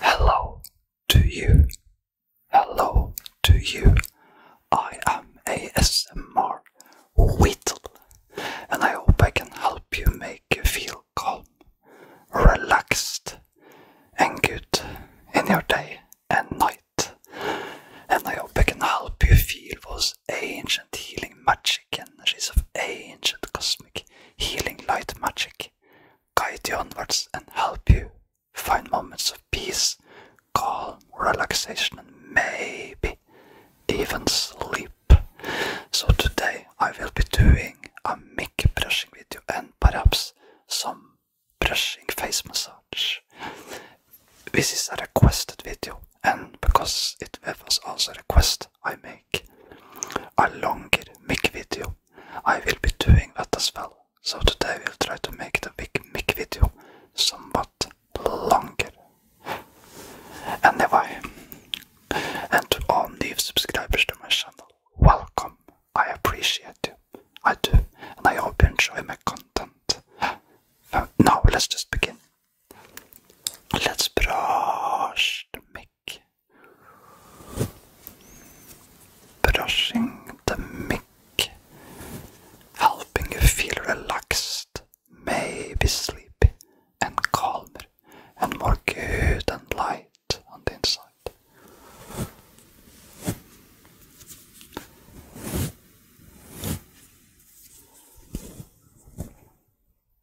Hello to you. Hello to you. I am ASMR Whittle and I hope I can help you make you feel calm, relaxed, and good in your day and night. And I hope I can help you feel those ancient healing magic energies of ancient cosmic healing light magic guide you onwards and help you find moments of peace, calm, relaxation, and maybe even sleep. So today I will be doing a mic brushing video and perhaps some brushing face massage. This is a requested video and because it was also a request I made a longer mic video. I will be doing that as well. So today we'll try to make the big mic video somewhat longer. Anyway, and to all new subscribers to my channel, welcome. I appreciate you. I do, and I hope you enjoy my content. Now let's just begin. Let's brush the mic brushing the mic, helping you feel relaxed, maybe sleepy and calmer, and more good and light on the inside.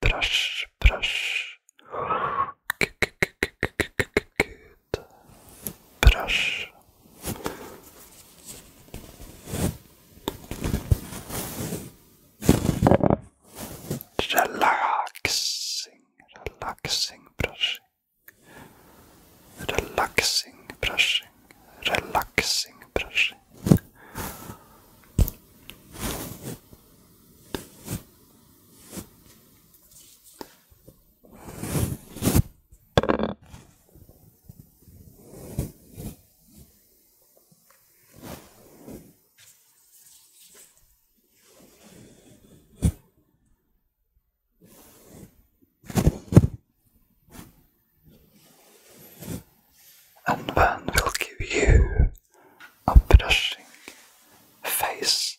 brush, brush. Good. Brush. Relaxing, relaxing brushing. Relaxing brushing. Relaxing brushing and man will give you a brushing, face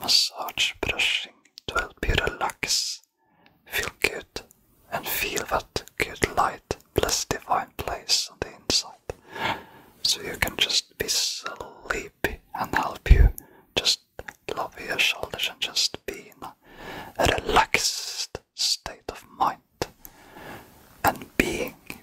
massage brushing to help you relax, feel good, and feel that good light bless divine place on the inside. So you can just be sleepy and help you just lower your shoulders and just be in a relaxed state of mind. And being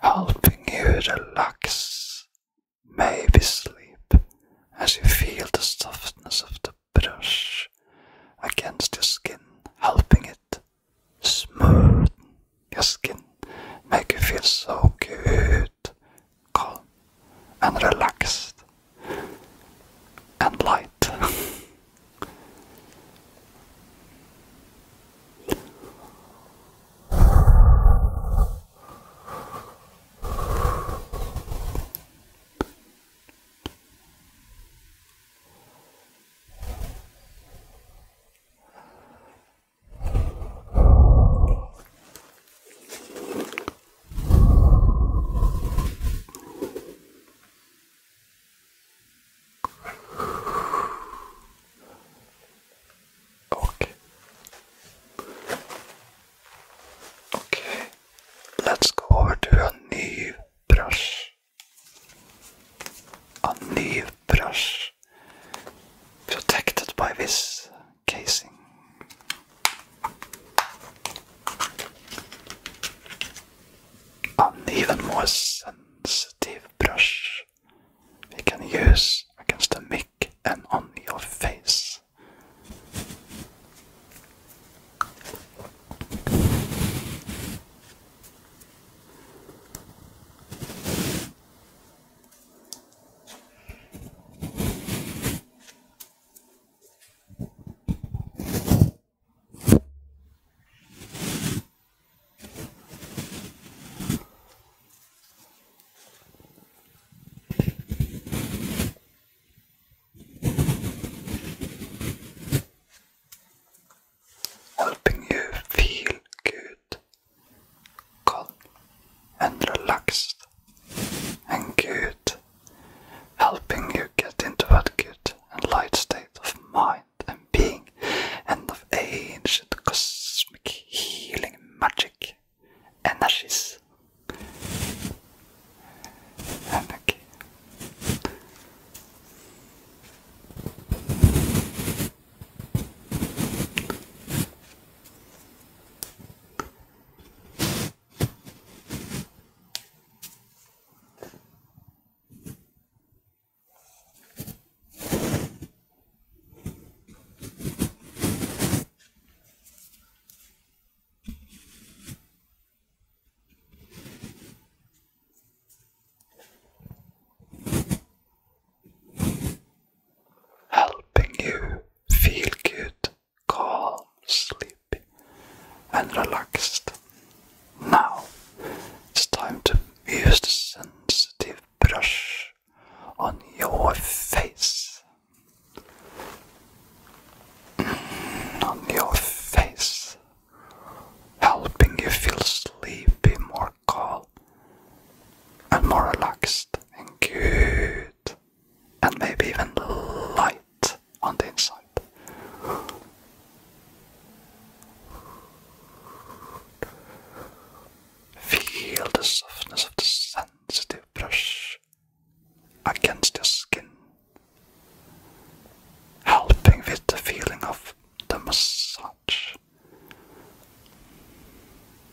helping you relax, maybe sleep as you feel the softness of the brush against your skin, helping it smooth your skin, make you feel so good, calm and relaxed and light. Okay. Okay. Let's go over to a new brush. A new brush protected by this casing. An even more sensitive brush we can use against the mic and on your face helping you feel good, calm, and relaxed and good, helping you get into a good and light state of mind and being, and of ancient cosmic healing magic energies. Energy helping you feel good calm, sleepy, and relaxed. Now it's time to use the sensitive brush on your face. Mm, on your face, helping you feel sleepy, more calm, and more relaxed and good and maybe even light on the inside. Feel the softness of the sensitive brush against your skin, helping with the feeling of the massage.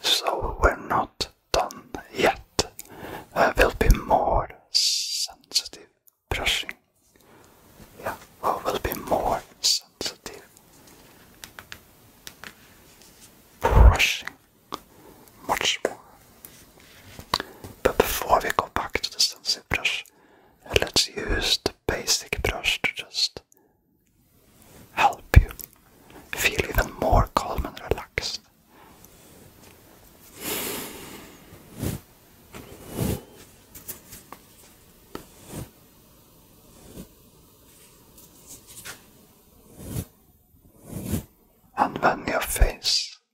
So we're not done yet. There will be more sensitive brushing. Yeah, well, will be more sensitive brushing. Much more. But before we go back to the sensitive brush, let's use the basic brush to just help you feel even more calm and relaxed. And then your face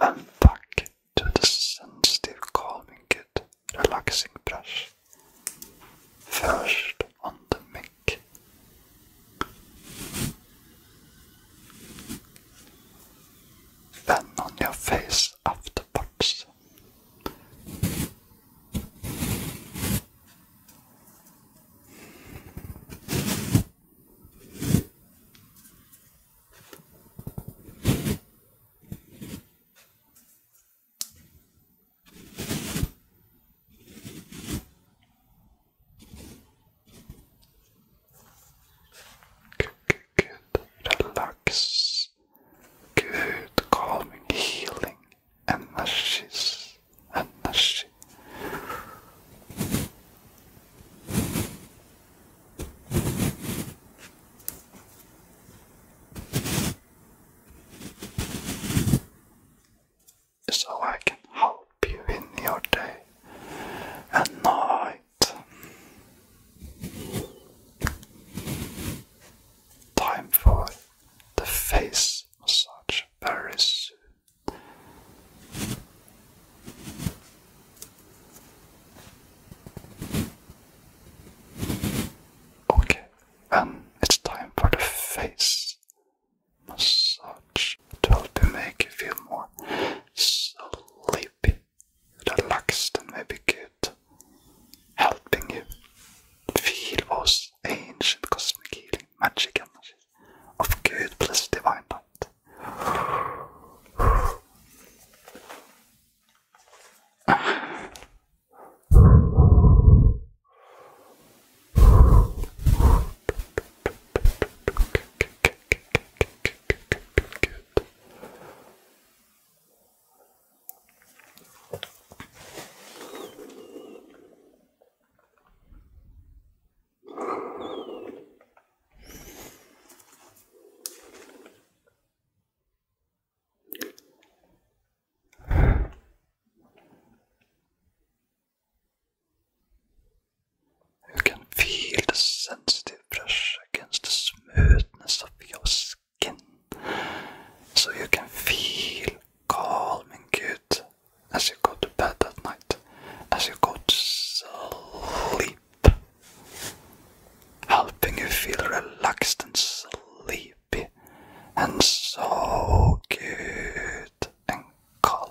And back to the sensitive calming kit relaxing brush. First on the mic. Then on your face afterwards. Good, good, relax. Good, calming, healing, energies, energy. So I can help you in your day and night. Time for the face massage very soon. Okay, and um, it's time for the face massage to help you make you feel more sleepy, relaxed, and maybe good, helping you feel those ancient cosmic healing magic energies of good plus divine light. You can feel the sensitive brush against the smoothness of your skin, so you can feel calm and good as you go to bed at night, as you go to sleep, helping you feel relaxed and sleepy and so good and calm.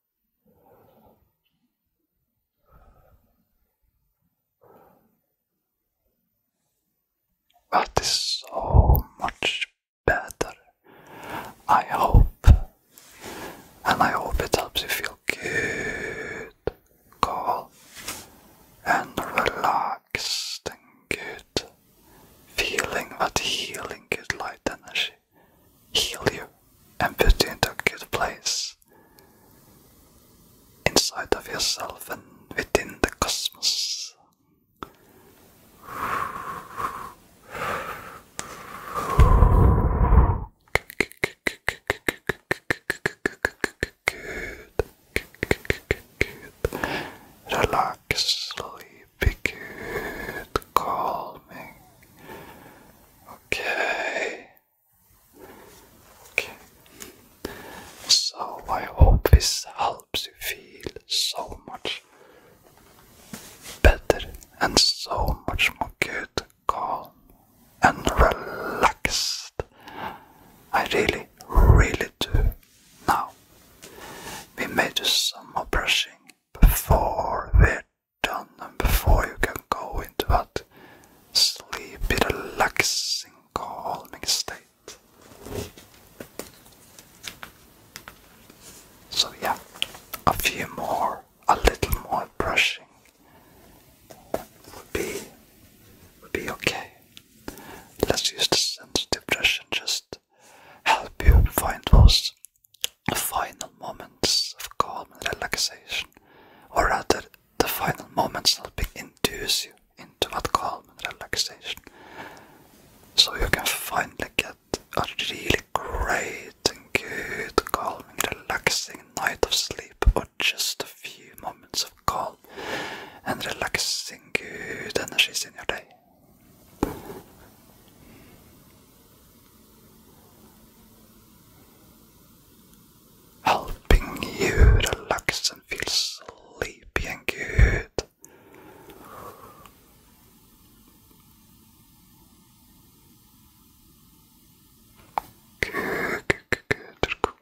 That is so much better. I hope, and I hope it helps you feel good, cool, and relaxed and good, feeling that healing, is light energy heal you and put you into a good place inside of yourself and within the cosmos. Good. Good. Relax, sleep good, me. Okay. Okay. So I hope this helps you feel so much better and so much more good, calm, and relaxed. I really, really do. Now, we may do some more brushing before we're done and before you can go into that sleepy, relaxing, calming state. So, yeah, a few more, a little more brushing would be, would be okay. Let's use the sensitive brush and just help you find those final moments of calm and relaxation, or rather, the final moments helping induce you into that calm and relaxation, so you can finally get a really great and good, calming, relaxing night of sleep, or just a few moments of calm and relaxing good energies in your day helping you relax and feel sleepy and good. Good, good, good, good.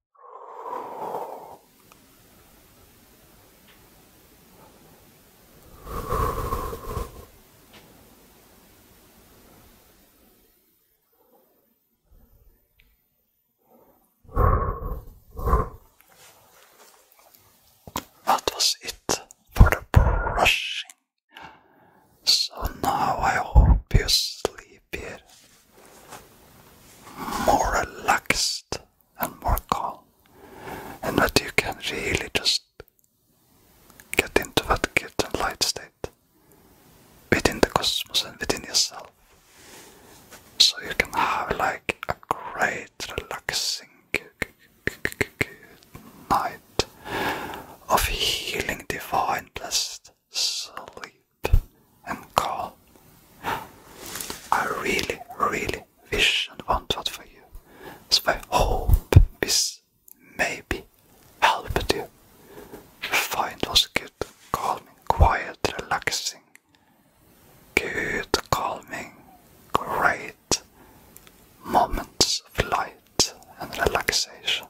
That was it for the brushing. So now I hope you sleep here more relaxed and more calm, and that you can really just get into that guilt light state within the cosmos and within yourself. So you can have like a great relaxing night of healing divine blessed sleep and calm. I really, really wish and want that for you. So I hope this maybe helped you find those good, calming, quiet, relaxing, good, calming, great moments of light and relaxation.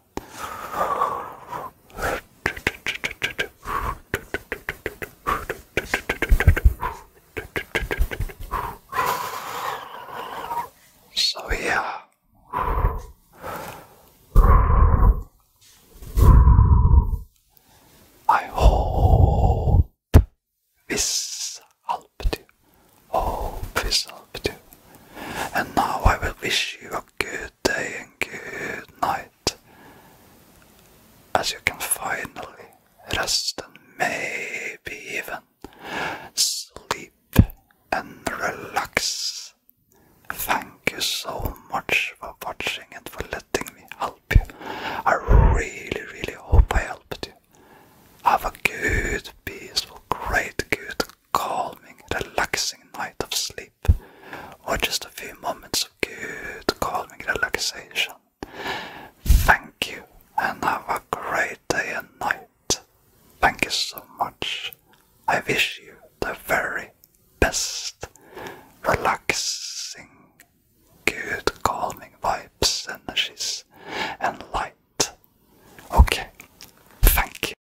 So, yeah. I hope this helped you. Hope this helped you. And now I will wish you a good day and good night, as you can finally rest and maybe even sleep and relax. Thank you so much for watching and for letting me help you. I really, really hope I helped you. Have a good, peaceful, great, good, calming, relaxing night of sleep, or just a few moments of good, calming relaxation. Thank you, and have a great day and night. Thank you so much. I wish you the very best. Relaxing, good, calming vibes, energies, and light. Okay, thank you.